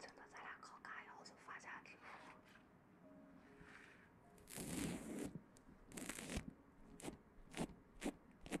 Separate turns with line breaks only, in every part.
真的，咱俩靠嘎药就发家致富。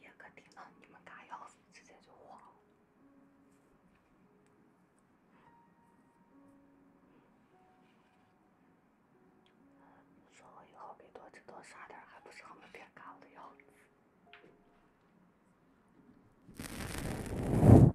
叶哥听到你们干要，直接就火了。说：“我以后给多挣多刷点，还不是他们别嘎我的子。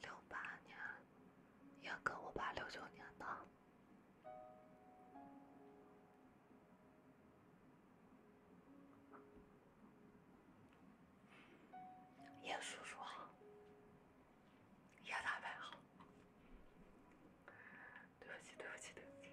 六八年，也跟我爸六九年呢，叶叔叔，叶大伯，对不起，对不起，对不起。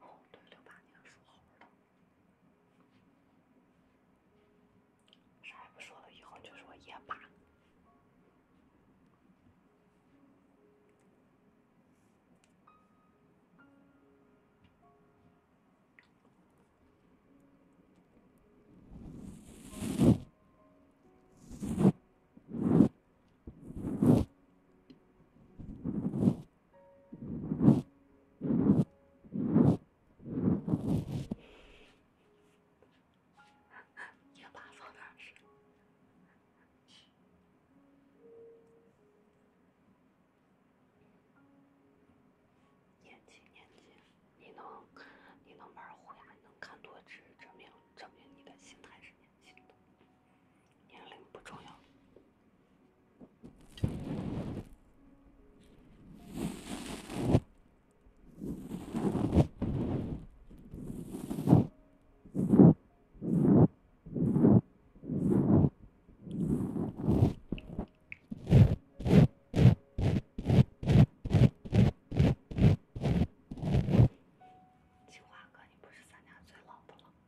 哦，对，六八年说好的，啥也不说了，以后就是我爷爸。你要把放哪？是？年纪年纪，你能你能玩虎牙，你能看多只，证明证明你的心态是。年龄不重要。哥，你不是咱家最老的了？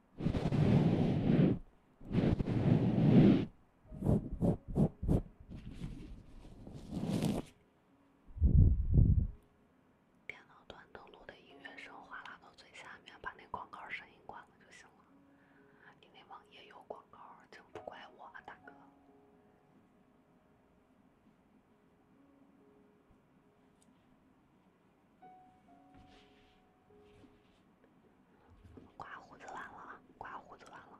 电脑端登录的音乐声哗拉到最下面，把那广告声音关了就行了。你那网页有广告，真不怪我，大哥。刮胡子完了，刮胡子完了。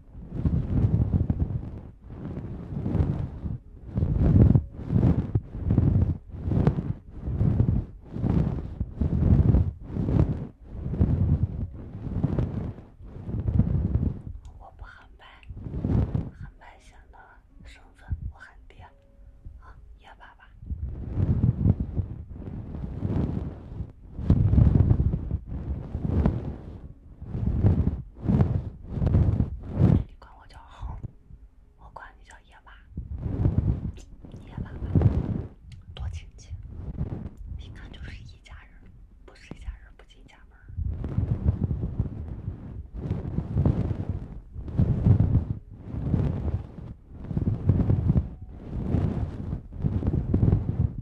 我不喊爸，喊爸显得身份我很低，啊，爷爸爸。你管我叫猴，我管你叫野娃，野娃吧，多亲切，一看就是一家人，不是一家人不进一家门。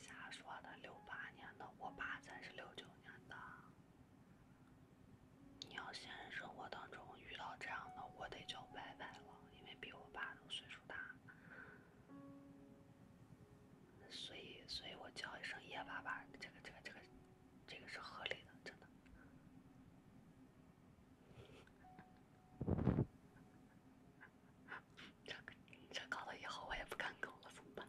瞎说的，六八年的，我爸才是六九年的。你要现实生活当中遇到这样的，我得叫爸爸了，因为比我爸都岁数大，所以所以我叫一声叶爸爸，这个这个这个，这个是合理的，真的。这这搞了以后我也不敢苟了，怎么办？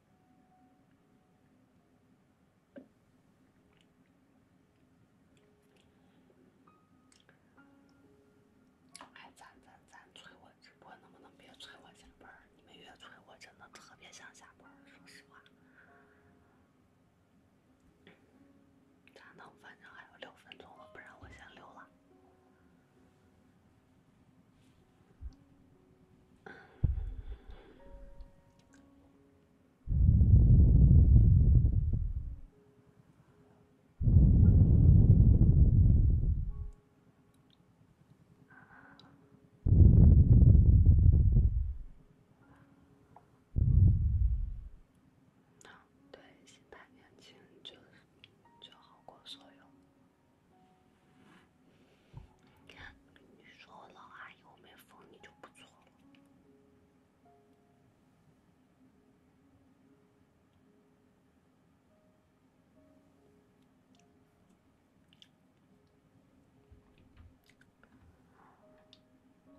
哎，咱咱咱催我直播，能不能别催我下班你们越催我，真的特别想下班说实话，咋能？反正还有六分钟了，不然我先溜了。对，现在年轻就就好过所有。你说我老阿姨，我没封你就不错了。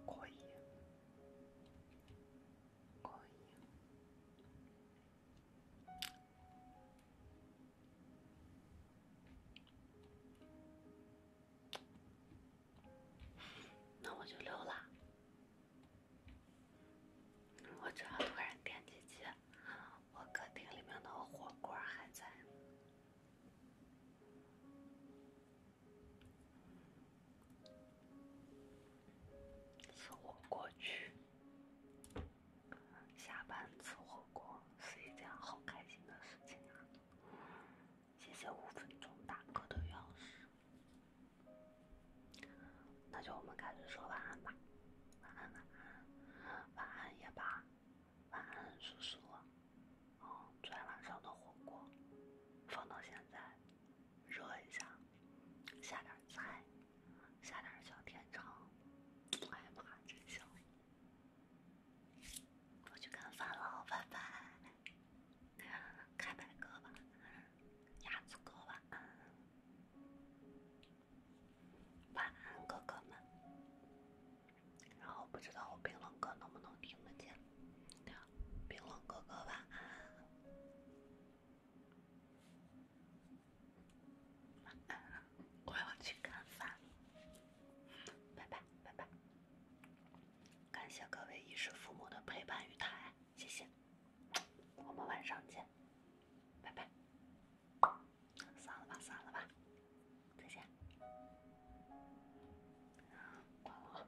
隔音。隔音。那我就溜了。我要突然惦记起我客厅里面那个火锅还在，吃火锅去。下班吃火锅是一件好开心的事情啊！谢谢五分钟打歌的钥匙，那就我们开始说晚安吧。晚安，晚安，晚安也罢，晚安叔叔。哦，昨天晚上的火锅，放到现在，热一下。下点菜，下点小甜肠，哎呀妈，真香！我去干饭了，拜拜！开麦哥吧，鸭子哥晚安，晚安哥哥们。然后不知道我冰冷哥能不能听得见，冰冷哥哥晚安。我要去干饭，拜拜拜拜！感谢各位一世父母的陪伴与疼爱，谢谢。我们晚上见，拜拜。散了吧，散了吧。
再见。关我。